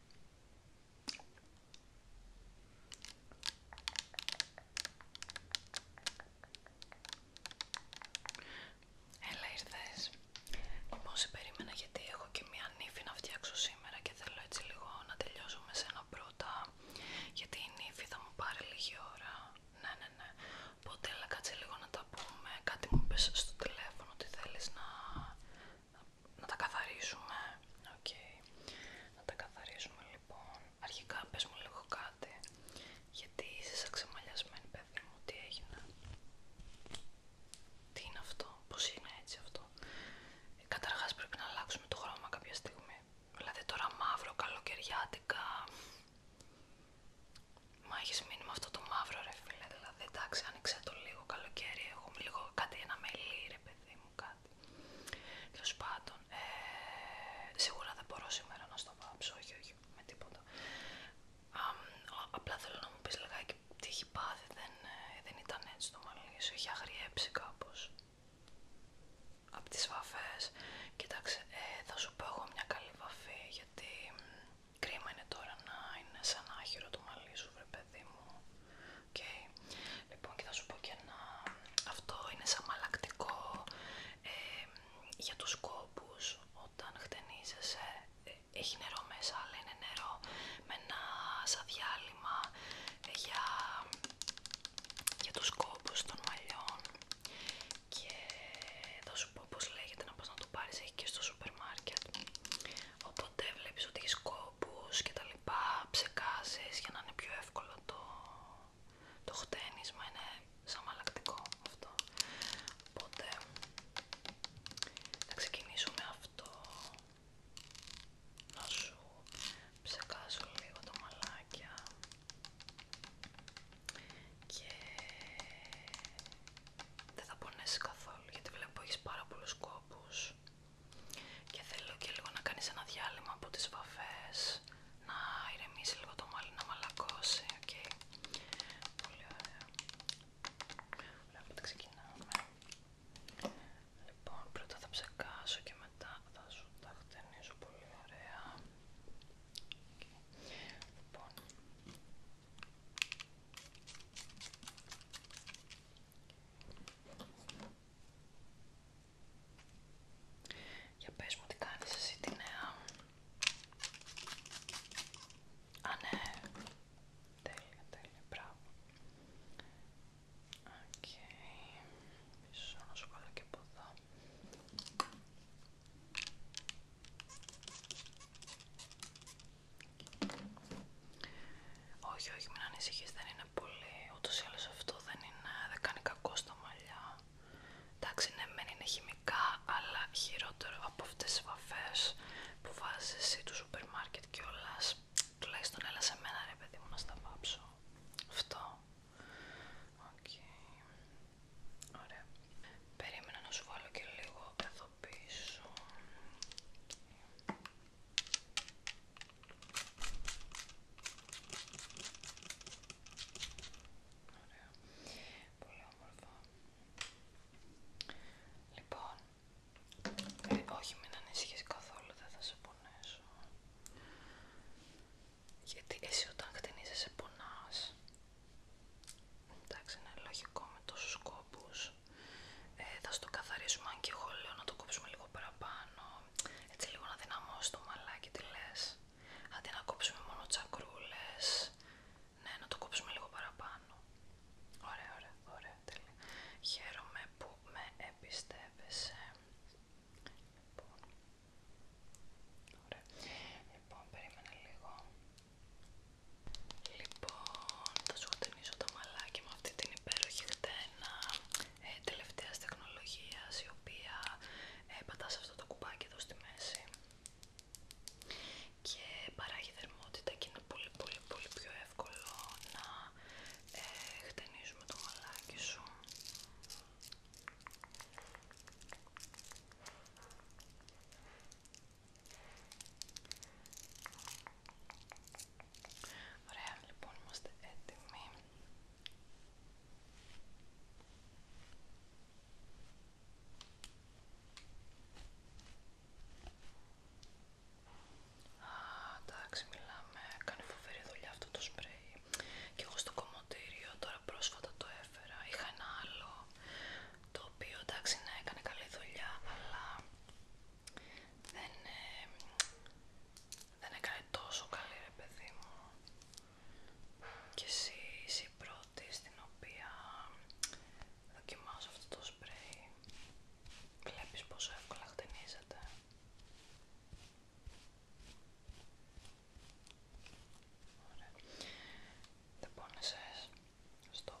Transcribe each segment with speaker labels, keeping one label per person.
Speaker 1: Έλα ήρθες. Λοιπόν, περίμενα γιατί έχω και μία νύφη να φτιάξω σήμερα και θέλω έτσι λίγο να τελειώσω με σένα πρώτα γιατί η νύφη θα μου πάρει λίγη ώρα. Ναι, ναι, ναι. Οπότε λίγο να τα πούμε. Κάτι μου πες στο τηλέφωνο ότι θέλεις να να τα καθαρίσουμε. Να τα καθαρίσουμε λοιπόν. Αρχικά πες μου λίγο κάτι. Γιατί είσαι σαν ξεμαλιασμένη παιδί μου. Τι έγινε. Τι είναι αυτό. Πώς είναι έτσι αυτό. Ε, καταρχάς πρέπει να αλλάξουμε το χρώμα κάποια στιγμή. Δηλαδή τώρα μαύρο, καλοκαιριάτικα. Μα έχεις αυτό το μαύρο ρε φίλε. Δηλαδή εντάξει άνοιξε το λίγο καλοκαίρι. Έχουμε λίγο κάτι ένα μελί και μου κάτι. πάντων, ε, σίγουρα δεν μπορώ σήμερα να στο βάψω, όχι, όχι, με τίποτα. απλά θέλω να μου πεις λιγάκι τι έχει πάθει, ε, δεν, ήταν έτσι το μαλλί σου, έχει αγριέψει κάπως. Απ' τις βαφές, κοίταξε, ε, θα σου πω εγώ μια καλή βαφή, γιατί κρίμα είναι τώρα να είναι σαν άχυρο το μαλλί παιδί μου. Λοιπόν και θα σου πω και ένα, αυτό είναι σαν μαλακτικό για τους κόπους όταν χτενίζεσαι, ε, έχει νερό μέσα αλλά είναι νερό με ένα σαν διάλειμμα ε, για, για τους κόπους των μαλλιών και θα σου πω πως λέγεται να πας να το πάρεις, έχει και στο σούπερ οπότε βλέπεις ότι έχεις κόπους και τα λοιπά, ψεκάζεις για να είναι πιο εύκολο το, το χτένισμα, είναι σαν αυτό. Οπότε θα ξεκινήσω αυτό, να σου ψεκάσω λίγο το μαλάκια και δεν θα πονέσει καθόλου γιατί βλέπω έχεις πάρα πολλούς κόπους και θέλω και λίγο να κάνεις ένα διάλειμμα από τις βαφές, να ηρεμήσει λίγο το μαλλί, να μαλακώσει, οκ. Πολύ ωραία. Ωραία, ξεκινάμε. Λοιπόν, πρώτα θα ψεκάσω και μετά θα σου τα χτενίζω πολύ ωραία. Λοιπόν. Για πες μου τι κάνεις εσύ τη νέα. Α, ναι. Τέλεια, τέλεια, μπράβο. Οκ. Okay. σου βάλω και από εδώ. Όχι, όχι, μην ανησυχείς, δεν είναι πολύ. Ούτως ή άλλως αυτό δεν, είναι, δεν κάνει κακό στα μαλλιά. Εντάξει, ναι, μεν είναι χημικά, αλλά χειρότερο από αυτές τις βαφές που βάζεις εσύ του σούπερ μάρκετ κιόλας. Τουλάχιστον έλα σε μένα ρε παιδί μου να στα βάψω. Αυτό. Οκ. Ωραία. Περίμενα να σου βάλω και λίγο εδώ πίσω. Ωραία. Πολύ όμορφα. Λοιπόν, ε, όχι μην ανησυχείς καθόλου, δεν θα σε πονέσω. Γιατί εσύ όταν σε πονάς. Εντάξει, είναι λογικό με τόσους κόπους. Ε, θα στο καθαρίσουμε αν και εγώ λέω να το κόψουμε λίγο παραπάνω έτσι λίγο να δυναμώσουμε το μαλάκι τι λες αντί να κόψουμε μόνο τσακρούλες ναι να το κόψουμε λίγο παραπάνω ωραία ωραία ωραία τέλεια χαίρομαι που με εμπιστεύεσαι λοιπόν ωραία λοιπόν, περίμενα λίγο Λοιπόν, θα σου χτενίσω το μαλάκι με αυτή την υπέροχη χτένια ε, τελευταία τεχνολογία τελευταίας τεχνολογίας η οποία ε, αυτό το κουμπάκι εδώ στη μέση και παράγει θερμότητα και είναι πολύ πολύ πολύ πιο εύκολο να ε, χτενίζουμε το μαλάκι σου Ωραία, λοιπόν, είμαστε έτοιμοι. Α, εντάξει, μιλάμε. Κάνει φοβερή δουλειά αυτό το σπρέι. Και εγώ στο κομοτίριο. τώρα πρόσφατα το έφερα. Είχα ένα άλλο το οποίο εντάξει, ναι, έκανε καλή δουλειά, αλλά ε, δεν, έκανε τόσο καλή ρε παιδί μου και εσύ είσαι η πρώτη στην οποία δοκιμάζω αυτό το σπρέι βλέπεις πόσο εύκολα χτυνίζεται. Ωραία. Δεν πόνεσες. είπα.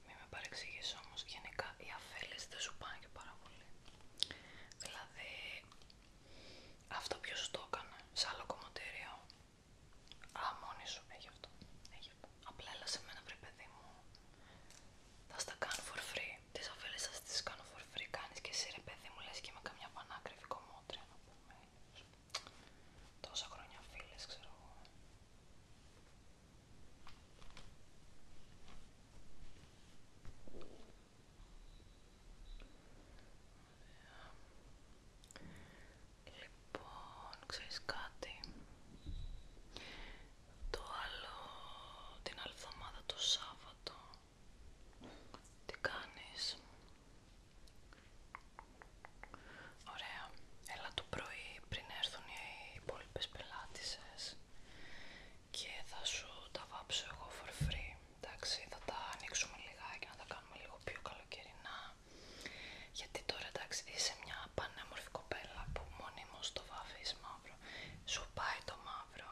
Speaker 1: Μην με παρεξηγείς όμως, γενικά οι αφέλες δεν σου πάνε και πάρα πολύ. Δηλαδή, αυτό ποιος το έκανε, σε άλλο κομμωτήριο. Α, μόνη σου, έχει αυτό. Έχει Απλά έλα σε μένα βρε παιδί μου. Θα στα κάνω for free. Τις αφέλες σας τις κάνω for free. Κάνεις και εσύ ρε παιδί μου, λες και με καμιά πανάκριβη κομμότρια να πούμε. Τόσα χρόνια φίλες, ξέρω εγώ. Λοιπόν, ξέρεις κάτι. Το άλλο την άλλη εβδομάδα το Σάββατο. Τι κάνεις. Ωραία. Έλα το πρωί πριν έρθουν οι υπόλοιπες πελάτησες και θα σου τα βάψω εγώ for free. Εντάξει, θα τα ανοίξουμε λιγάκι να τα κάνουμε λίγο πιο καλοκαιρινά. Γιατί τώρα εντάξει είσαι μια πανέμορφη κοπέλα που μονίμως το βάφεις μαύρο. Σου πάει το μαύρο,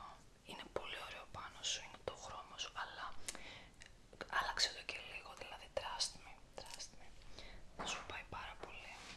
Speaker 1: είναι πολύ ωραίο πάνω σου, είναι το χρώμα σου, αλλά άλλαξε το και λίγο, δηλαδή trust me, trust me. Σου πάει πάρα πολύ.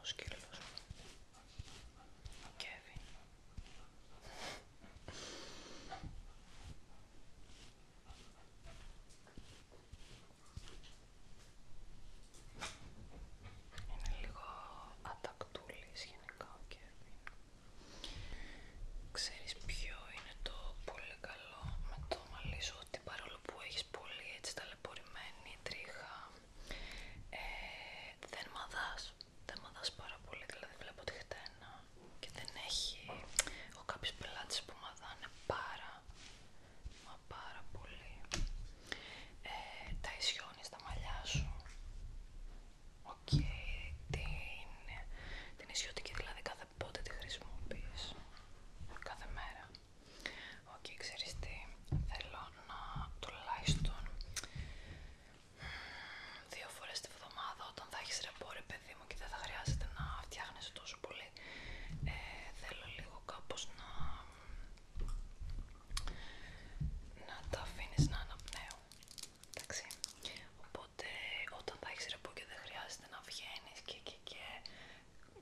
Speaker 1: Ο σκύλος μου. Ο Κέβιν. Είναι λίγο ατακτούλης γενικά ο Κέβιν. Ξέρεις ποιο είναι το πολύ καλό με το μαλλί ότι παρόλο που έχεις πολύ έτσι ταλαιπωρημένη τρίχα ε, δεν μαδάς, πάρα πολύ, δηλαδή βλέπω τη χτένα και δεν έχει, ο κάποιους πελάτες που μαδάνε πάρα, μα πάρα πολύ. Ε, τα ισιώνεις τα μαλλιά σου, οκ, είναι, την, την ισιωτική δηλαδή κάθε πότε τη χρησιμοποιείς, κάθε μέρα. Οκ, okay, ξέρεις τι, θέλω να τουλάχιστον δύο φορές τη βδομάδα όταν θα έχεις ρεπό ρε παιδί μου και δεν θα χρειάζεται να φτιάχνεις τόσο πολύ ε, θέλω λίγο κάπως να να τα αφήνεις να αναπνέω, εντάξει οπότε όταν θα έχεις ρεπό και δεν χρειάζεται να βγαίνεις και και και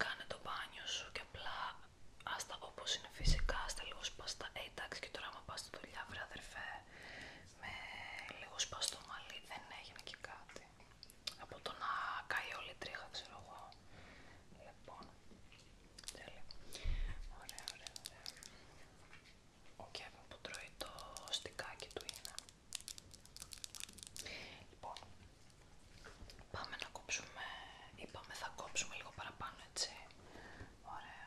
Speaker 1: κάνε το μπάνιο σου και απλά άστα όπως είναι φυσικά, τα λίγο σπαστά. Ε, εντάξει και τώρα άμα πας στη δουλειά αδερφέ, με λίγο σπαστό μαλλί δεν έγινε και κάτι. Από το να καεί όλη η τρίχα ξέρω εγώ. Λοιπόν, τέλεια. Ωραία, ωραία, ωραία. Ο που τρώει το στικάκι του είναι. Λοιπόν, Πάμε να κόψουμε, είπαμε θα κόψουμε λίγο παραπάνω έτσι, ωραία,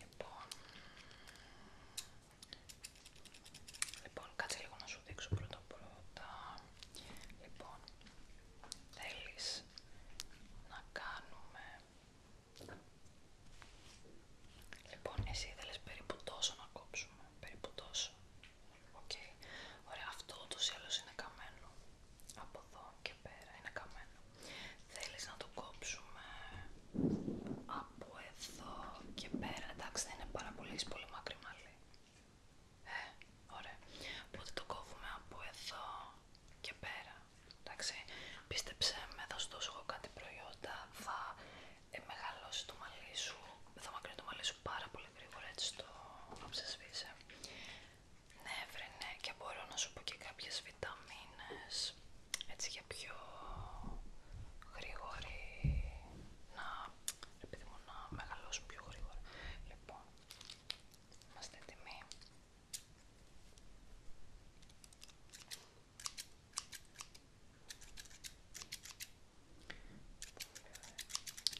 Speaker 1: λοιπόν, λοιπόν κάτσε λίγο να σου δείξω πρώτα πρώτα, λοιπόν, θέλεις να κάνουμε, λοιπόν εσύ θέλεις περίπου τόσο να κόψουμε, περίπου τόσο. Ωραία, αυτό το ή είναι καμένο. Από εδώ και πέρα είναι καμένο. Θέλεις να το κόψουμε από εδώ και πέρα. Εντάξει, δεν είναι πάρα πολύ, πολύ μακρύ μαλλί. Ε, ωραία. Οπότε το κόβουμε από εδώ και πέρα. Εντάξει, πίστεψε με, θα σου δώσω κάτι προϊόντα, θα ε, μεγαλώσει το μαλλί σου, θα μακρύνει το μαλλί σου πάρα πολύ γρήγορα έτσι το ναι βρε ναι και μπορώ να σου πω και κάποιες βιταμίνες έτσι για πιο γρήγορη να, επειδή πιο γρήγορα λοιπόν, είμαστε έτοιμοι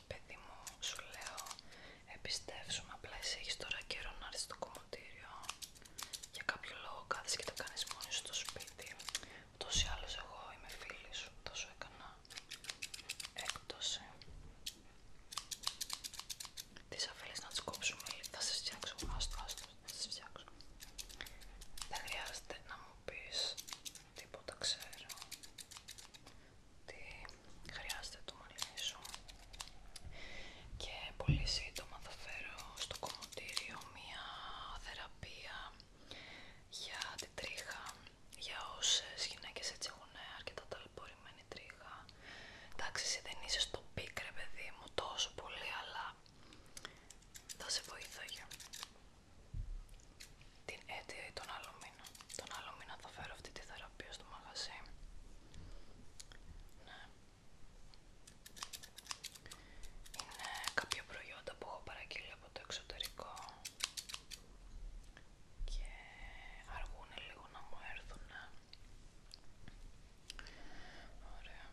Speaker 1: Παιδί μου, σου λέω, εμπιστεύσουμε απλά εσύ έχεις τώρα καιρό να έρθεις στο κομμωτήριο για κάποιο λόγο κάθεσαι και το κάνεις σου στο σπίτι Το ή εγώ είμαι φίλη σου, σου έκανα έκπτωση Τις αφήλες να τις κόψουμε, θα σε φτιάξω, ας άστο, θα σε φτιάξω Δεν χρειάζεται να μου πεις τίποτα ξέρω τι χρειάζεται το μαλλί σου και πολύ σύντομα θα φέρω στο κομμωτήριο μία θεραπεία για την τρίχα για όσες γυναίκες έτσι έχουν αρκετά ταλαιπωρημένη τρίχα εντάξει εσύ δεν είσαι στο πίκρε, παιδί μου τόσο πολύ αλλά θα σε βοηθάει την αίτια τον άλλο τον άλλο μήνα θα φέρω αυτή τη θεραπεία στο μαγαζί. Ναι. Είναι κάποια προϊόντα που έχω παραγγείλει από το εξωτερικό και αργούν λίγο να μου έρθουν. Ωραία.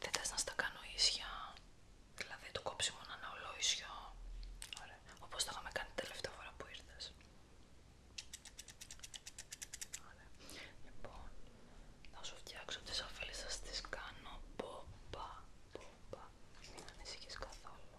Speaker 1: Δεν θες να στα κάνω ίσια Δηλαδή το κόψιμο είναι ένα ολόισιο. Ωραία. Όπως το είχαμε κάνει την τελευταία φορά που ήρθες. Ωραία. Λοιπόν, να σου φτιάξω τις αφέλες σας, τις κάνω μπομπα, μπομπα. Μην ανησυχείς καθόλου.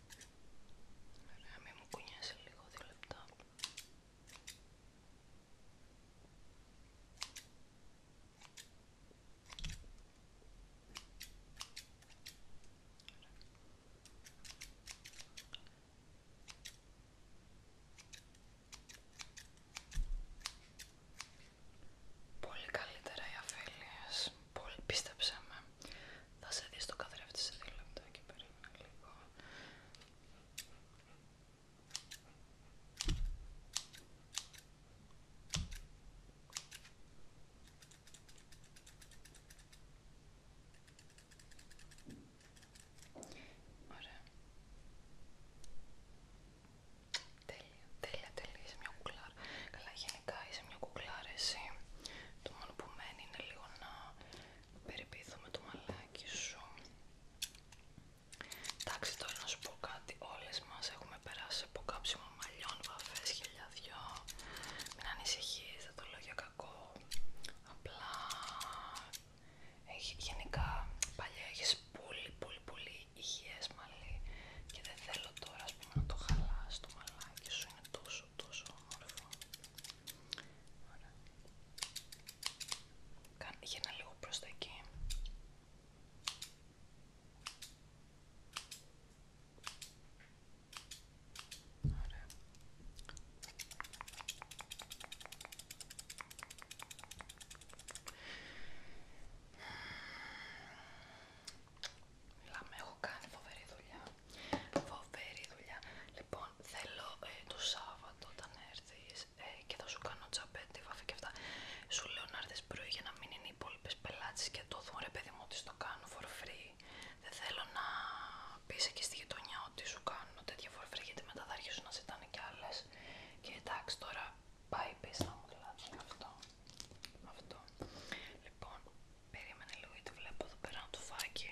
Speaker 1: Ωραία, μην μου κουνιάσει λίγο δύο λεπτά. Πολύ καλύτερα οι αφέλειες, πολύ πίστεψε με. Θα σε δει στο καθρέφτη σε δύο λεπτά και περίμενα λίγο. Ωραία. Τέλεια, τέλεια, τέλεια. Είσαι μια κουκλάρα. Καλά, γενικά είσαι μια κουκλάρα εσύ. Το μόνο που μένει είναι λίγο να περιποιηθούμε το μαλάκι σου. Εντάξει, τώρα να σου πω κάτι. Όλες μας έχουμε περάσει από κάψιμο μαλλιών, βαφές, χιλιαδιό. Μην ανησυχείς, δεν το λέω για κακό. Απλά γενικά παλιά έχεις πολύ πολύ πολύ υγιές μαλλί και δεν θέλω τώρα ας πούμε, να το χαλάσει το μαλάκι σου. Είναι τόσο τόσο όμορφο. Ωραία. για να λίγο προς τα εκεί. Μιλάμε, έχω κάνει φοβερή δουλειά. Φοβερή δουλειά. Λοιπόν, θέλω ε, το Σάββατο όταν έρθει ε, και θα σου κάνω τσαπέτη, βάφη και αυτά. Σου λέω να έρθει πρωί για να μην είναι οι υπόλοιπε πελάτε και το δουν ρε παιδί μου ότι το κάνω for free. Δεν θέλω να πει εκεί στη γειτονιά ότι σου κάνω τέτοια for free γιατί μετά θα αρχίσουν να ζητάνε κι άλλε. Και εντάξει τώρα πάει πίσω να μου κλάψουν δηλαδή, αυτό. αυτό. Λοιπόν, περίμενε λίγο γιατί βλέπω εδώ πέρα το φάκι.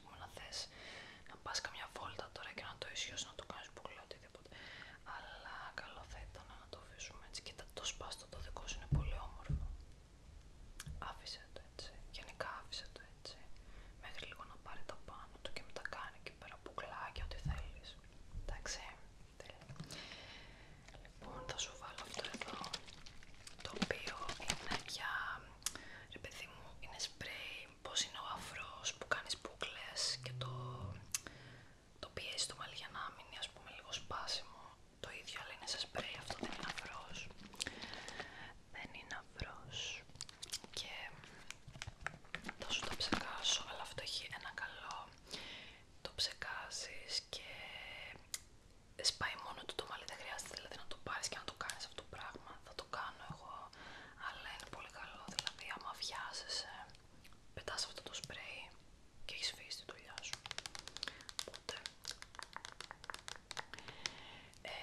Speaker 1: να θες πας καμιά βόλτα τώρα και να το ισιώσεις, να το κάνεις δεν οτιδήποτε αλλά καλό θα ήταν να το φύσουμε έτσι κοίτα το σπάστο το δικό σου είναι πολύ όμορφο άφησε το έτσι, γενικά άφησε το έτσι μέχρι λίγο να πάρει τα πάνω του και μετά κάνει εκεί πέρα μπουκλάκια ό,τι θέλεις εντάξει, τέλεια λοιπόν θα σου βάλω αυτό εδώ το οποίο είναι για ρε παιδί μου, είναι σπρέι, πώς είναι ο αφρός που κάνεις μπουκλές και το, το πιέζει το μαλλί για να μείνει α πούμε λίγο σπάσιμο. Το ίδιο αλλά είναι σε σπρέι, αυτό δεν είναι αφρός. Δεν είναι αφρός. Και τόσο σου το ψεκάσω, αλλά αυτό έχει ένα καλό. Το ψεκάζεις και σπάει μόνο του το μαλλί, δεν χρειάζεται δηλαδή να το πάρεις και να το κάνεις αυτό το πράγμα θα το κάνω εγώ, αλλά είναι πολύ καλό. Δηλαδή, άμα βιάζεσαι, πετάς αυτό το σπρέι και έχει φύγει τη δουλειά σου. Οπότε, ε,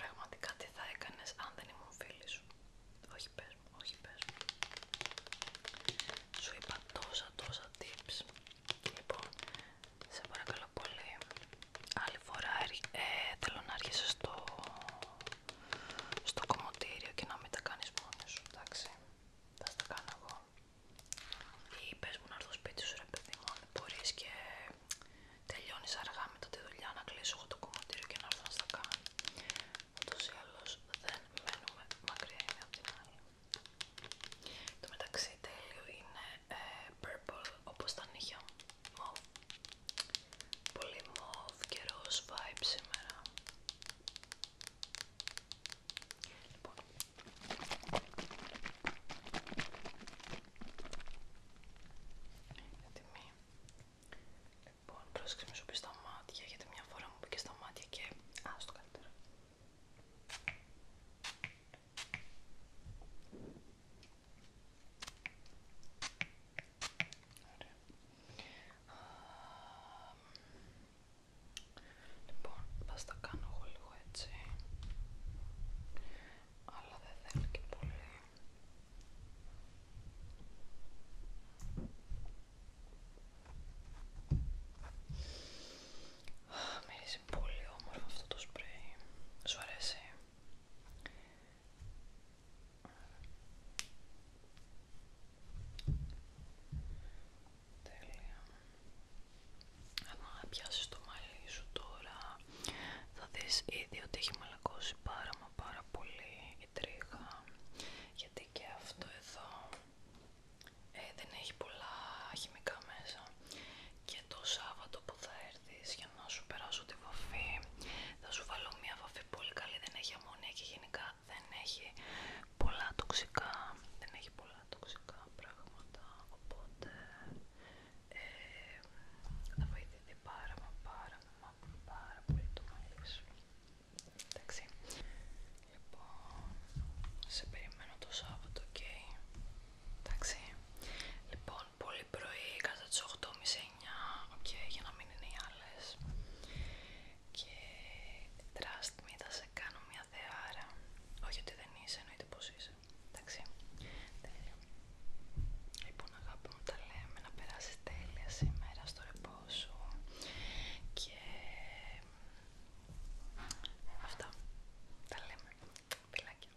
Speaker 1: πραγματικά τι θα έκανε αν δεν ήμουν φίλη σου. Όχι, πες μου, όχι, πες μου. Σου είπα τόσα τόσα tips. Λοιπόν, σε παρακαλώ πολύ. Άλλη φορά ε, θέλω να έρχεσαι στο, στο και να μην τα κάνεις μόνος σου, εντάξει. Θα τα κάνω εγώ. Ή πες μου να έρθω σπίτι σου ρε παιδί μου, και τελειώνεις αργά μετά τη δουλειά να κλείσω εγώ το κομμωτήριο και να έρθω να στα κάνω. Ούτως ή άλλως δεν μένουμε μακριά είναι από την άλλη. Το μεταξύ τέλειο είναι ε, purple όπως τα νύχια Μοβ. Πολύ μοβ και ροζ vibe σήμερα. Λοιπόν. Είναι τιμή. Λοιπόν, με σου πει στα μάτια, γιατί μια φορά μου πήκε στα μάτια και... Α, το καλύτερα. Λοιπόν, θα κάνω εγώ λίγο έτσι, αλλά δεν θέλω και πολύ. Μυρίζει πολύ όμορφο αυτό το σπρέι. Σου αρέσει. Τέλεια. Αν πιάσεις το μαλλί σου τώρα, θα δεις ήδη ότι έχει μαλακώσει πάρα μα πάρα πολύ η τρίχα. Γιατί και αυτό εδώ ε, δεν έχει πολλά χημικά μέσα. Και το Σάββατο που θα για να σου περάσω τη βαφή θα σου βάλω μια βαφή πολύ καλή, δεν έχει αμμονία και γενικά δεν έχει πολλά τοξικά δεν έχει πολλά τοξικά πράγματα οπότε ε, θα βοηθηθεί πάρα μα πάρα μα πάρα πολύ το μαλλί σου εντάξει λοιπόν σε περιμένω το Σάββατο, ok Εντάξει. Λοιπόν, πολύ πρωί, κατά τις 8.30-9, και για να μην είναι οι άλλες. Και trust me, θα σε κάνω μια θεάρα. Όχι ότι δεν είσαι, εννοείται πως είσαι. Εντάξει. Τέλεια. Λοιπόν, αγάπη μου, τα λέμε να περάσει τέλεια σήμερα στο ρεπό σου. Και ε, αυτά. Τα λέμε. Φιλάκια.